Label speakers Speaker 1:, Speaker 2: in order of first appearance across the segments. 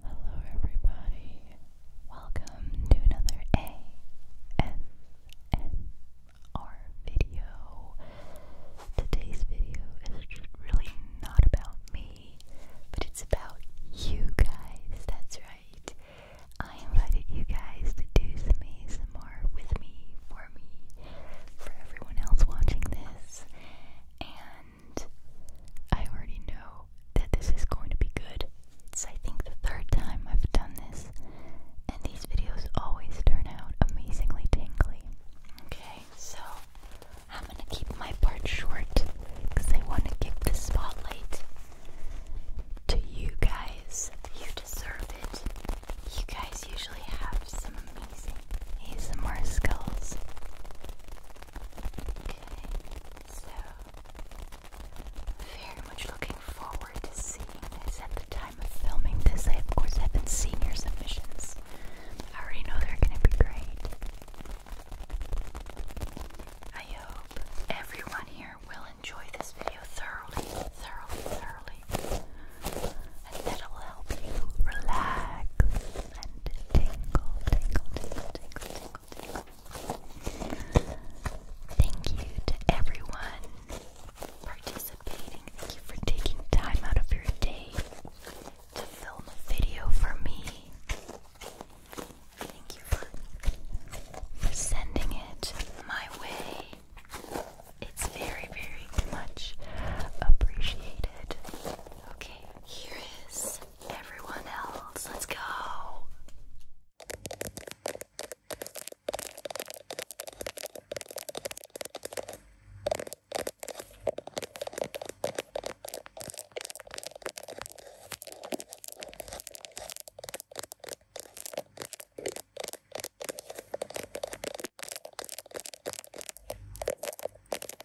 Speaker 1: Hello, everybody. Welcome to another ASMR video. Today's video is really not about me, but it's about you guys. That's right. I invited you guys to do some ASMR with me, for me, for everyone else watching this, and I already know that this is going to be good. It's, I think, the third time I've done this, and these videos always turn out amazingly tingly. Okay, so I'm gonna keep my part short because I want to give the spotlight to you guys. You deserve it. You guys usually have some amazing some more skills so very much looking forward to seeing this. At the time of filming this, I of course have been seeing your submissions. I already know they're going to be great. I hope everyone here will enjoy this video thoroughly, thoroughly, thoroughly, and that will help you relax and tingle, tingle, tingle, tingle, Thank you to everyone participating. Thank you for taking time out of your day to film a video for me. Thank you for sending it my way. It's very, very much appreciated. Okay, here is everyone else. Let's go.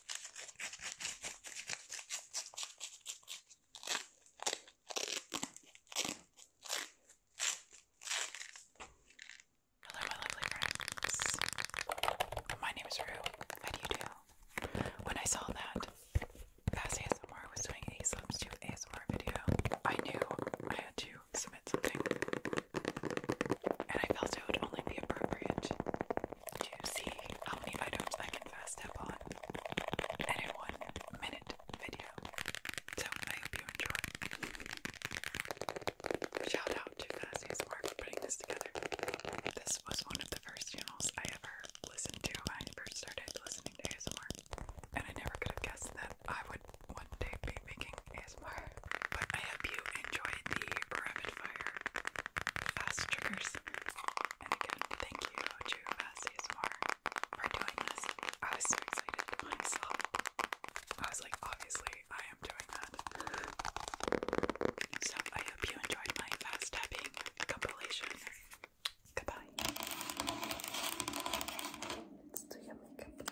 Speaker 1: Hello, my lovely friends. My name is Rue. How do you do? When I saw that Fast ASMR was doing a substitute ASMR video, I knew I had to submit something. And I felt it would only be appropriate to see how many items I can first step on and one minute video. So I hope you enjoy. Shout out to Cassie's for putting this together. This was one of the first channels I ever listened to when I first started listening to ASMR. And I never could have guessed that I would one day be making ASMR. But I hope you enjoyed the rapid fire fast triggers. And again, thank you, Drew ASMR, for doing this. I was so excited I was like, obviously, I am doing that. So I hope you enjoyed my fast tapping compilation. Goodbye. Let's do your makeup.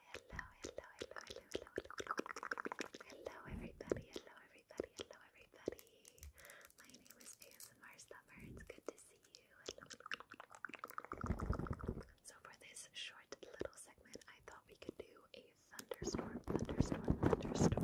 Speaker 1: hello, hello, hello, hello, hello, hello, hello, everybody, hello, everybody, hello, everybody. My name is ASMR Summer. It's good to see you. So for this short little segment, I thought we could do a thunderstorm, thunderstorm, thunderstorm.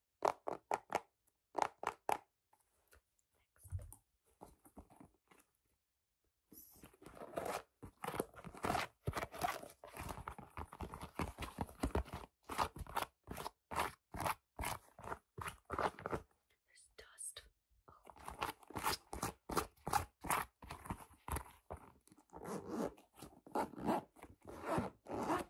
Speaker 1: There's dust. Oh.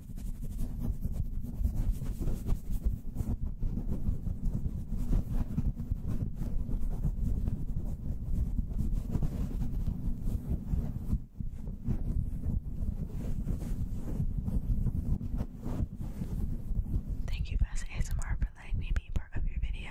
Speaker 1: Thank you, Fast ASMR, for letting me be part of your video.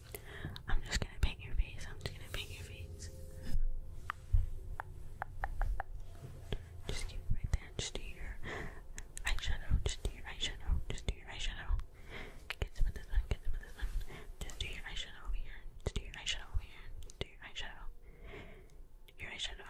Speaker 1: I'm just gonna paint your face. I'm just gonna paint your face. Just keep it right there. Just do your eyeshadow. Just do your eyeshadow. Just do your eyeshadow. Get some of this one. Get some of this one. Just do your eyeshadow over here. do your eyeshadow over here. do your eyeshadow. your eyeshadow.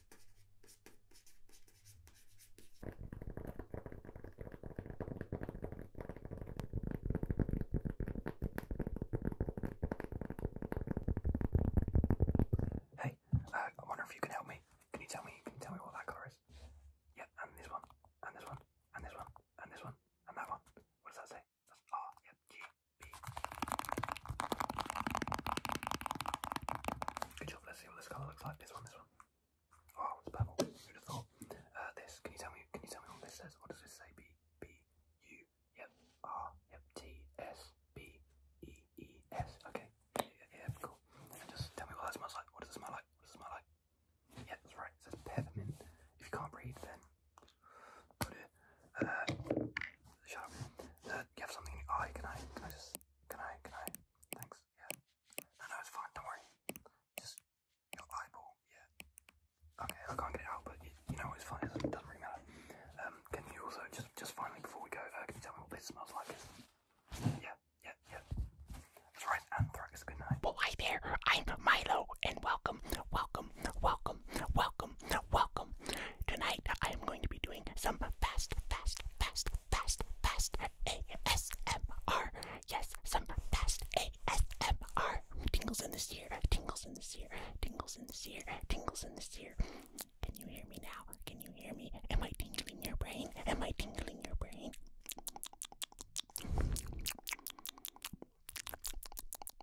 Speaker 1: Hey, uh, I wonder if you can help me. Can you tell me? Can you tell me what that colour is? Yeah, and this one, and this one, and this one, and this one, and that one. What does that say? That's R. yeah, G. Good job. Let's see what this colour looks like. This one, this one. Oh, it's purple. who Uh, this. Can you tell me? Can you tell me what this says? What does this say? B B U. Okay. Yeah, cool. just tell me what that smells like. What does it smell like? What does it smell like? Yeah, that's right. It says peppermint. If you can't breathe, then put it uh, shut up. Uh, you have something in your eye. Can I? Can I just? Can I? Can I? Thanks. Yeah. No, no, it's fine. Don't worry. Just your eyeball. Yeah. Okay, I can't get it out, but you, you know it's fine. It doesn't, doesn't really matter. Um, can you also just, just finally before we go, uh, can you tell me what this smells like? Yeah. Yeah. Yeah. That's right. Anthrax. Good night. Well, hi there. I'm Milo, and welcome, welcome, welcome welcome, welcome, welcome. Tonight I am going to be doing some fast, fast, fast, fast, fast ASMR. Yes, some fast ASMR. Tingles in this ear, tingles in this ear, tingles in this ear, tingles in this ear. Can you hear me now? Can you hear me? Am I tingling your brain? Am I tingling your brain?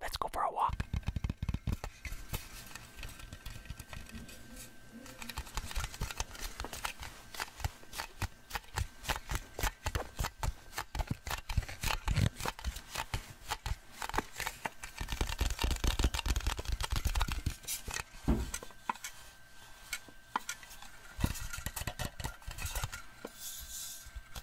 Speaker 1: Let's go for a walk.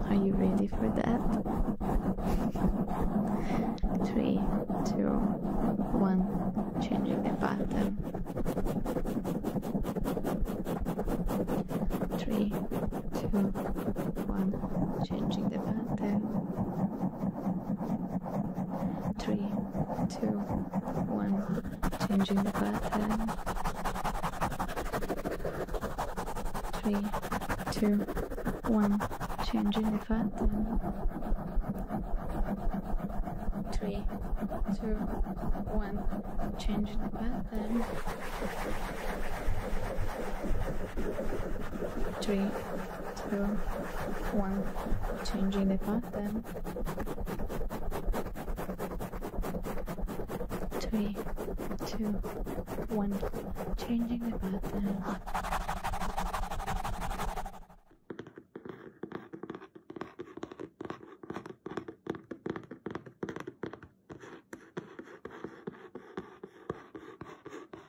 Speaker 1: Are you ready for that? Three, two, one, changing the pattern. Three, two, one, changing the pattern. Three, two, one. Changing the pattern. Three, two, one. Changing the pattern. Three, two, one. Changing the pattern. Three two, one, changing the pattern, three, two, one, changing the pattern.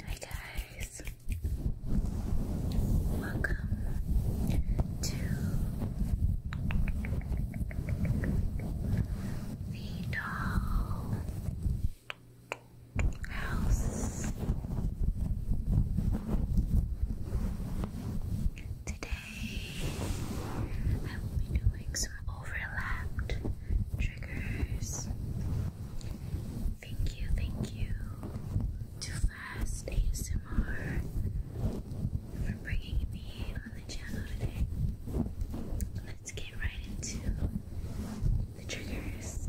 Speaker 1: Hi guys, welcome to the doll house. Today I will be doing some overlapped triggers. Thank you, thank you to Fast ASMR for bringing me on the channel today. Let's get right into the triggers.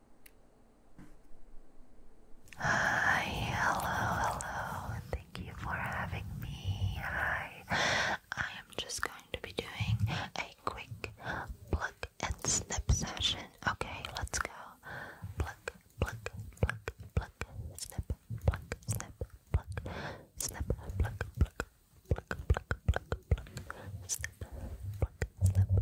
Speaker 1: Hi, hello, hello. Thank you for having me. Hi. I am just going to be doing a quick pluck and snip session. Okay, let's go. Pluck, pluck, pluck, pluck, snip, pluck, snip, pluck, snip, pluck, pluck, pluck, pluck, pluck, pluck, snip, pluck, snip.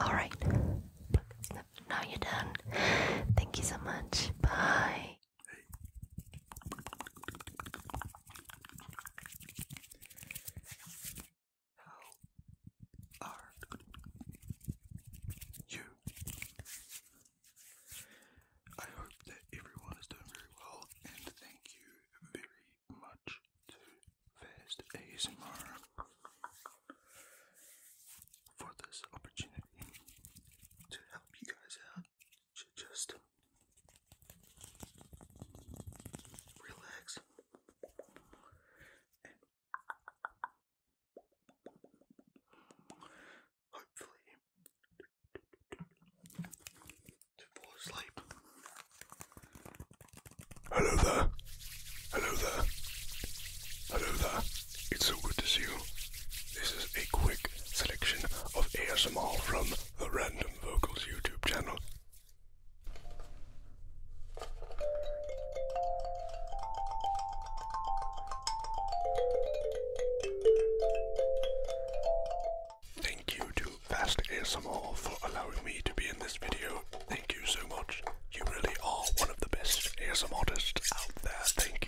Speaker 1: All right. Now you're done. Thank you so much. Bye. How are you? I hope that everyone is doing very well, and thank you very much to Fast ASMR for this opportunity to help you guys out to just relax hopefully to fall asleep. Hello there. Hello there. Hello there. It's so good to see you. This is a quick selection of ASMR from the Random Vocals YouTube channel. Thank you to Fast ASMR for allowing me to be in this video. Thank you so much. You really are one of the best ASMR artists out there. Thank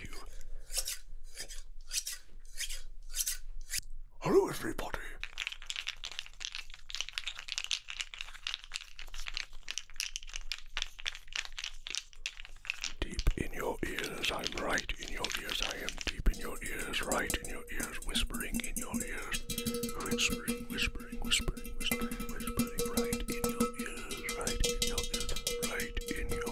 Speaker 1: Hello, everybody. Deep in your ears, I'm right in your ears. I am deep in your ears, right in your ears, whispering in your ears, whispering, whispering, whispering, whispering, right in your ears, right in your ears, right in your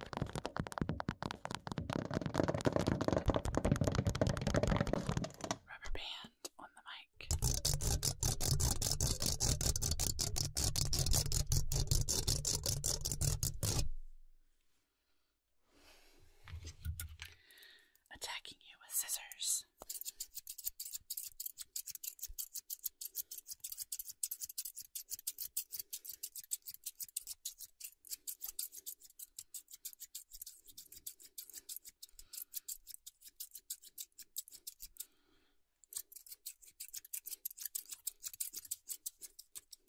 Speaker 1: Rubber band on the mic. Attacking you with scissors.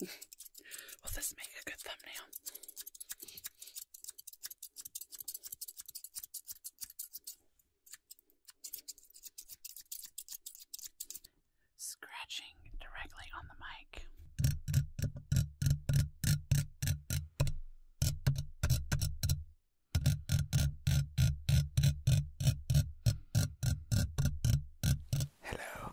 Speaker 1: Will this make a good thumbnail? scratching directly on the mic. Hello.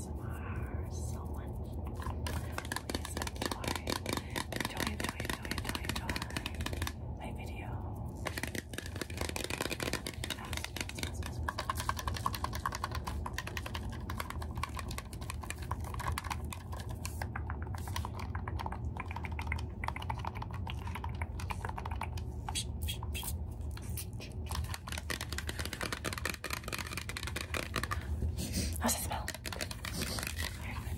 Speaker 1: ASMR so much. Please enjoy, enjoy, enjoy, enjoy, enjoy, enjoy my videos. How's it smell? Okay, okay. Bye, bye, bye, bye, bye.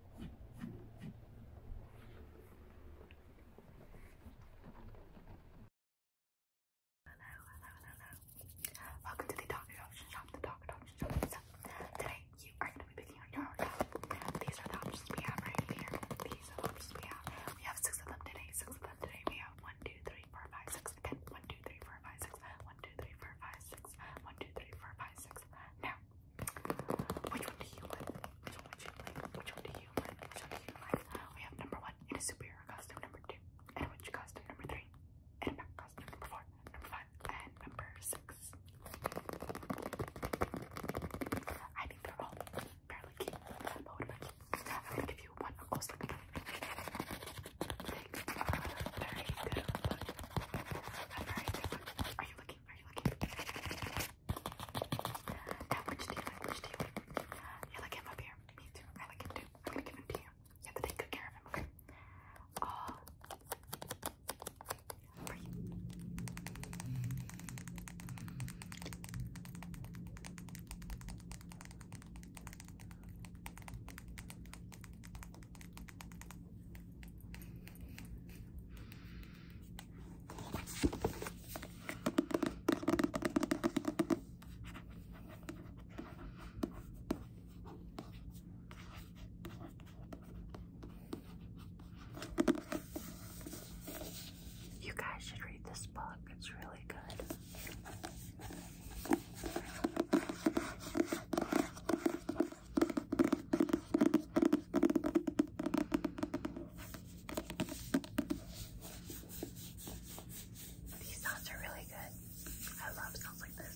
Speaker 1: hello, hello. Welcome to the Dog Adoption Shop, the Dog Adoption Shop. So, today you are going to be picking out your dog. These are the options we have right here. These are the options we have. We have six of them today, six of them today. We have one, two, three, four, five, six. Again, one, two, three, four, five, six. One, two, three, four, five, six. One, two, three, four, five, six. Now, which one do you like? Which one would you like? Which one do you like? Which one do you like? We have number one in a superhero costume, number two in a witch costume, number three in a back costume, number four, number five, and number six. I think they're all fairly cute. But what about you? I'm give you one close very good. very good Are you looking? like? him up here? Me too. I like him too. I'm gonna give him to you. You have to take good care of him, okay? Uh, you. You guys should read this book, it's really good. These sounds are really good. I love sounds like this.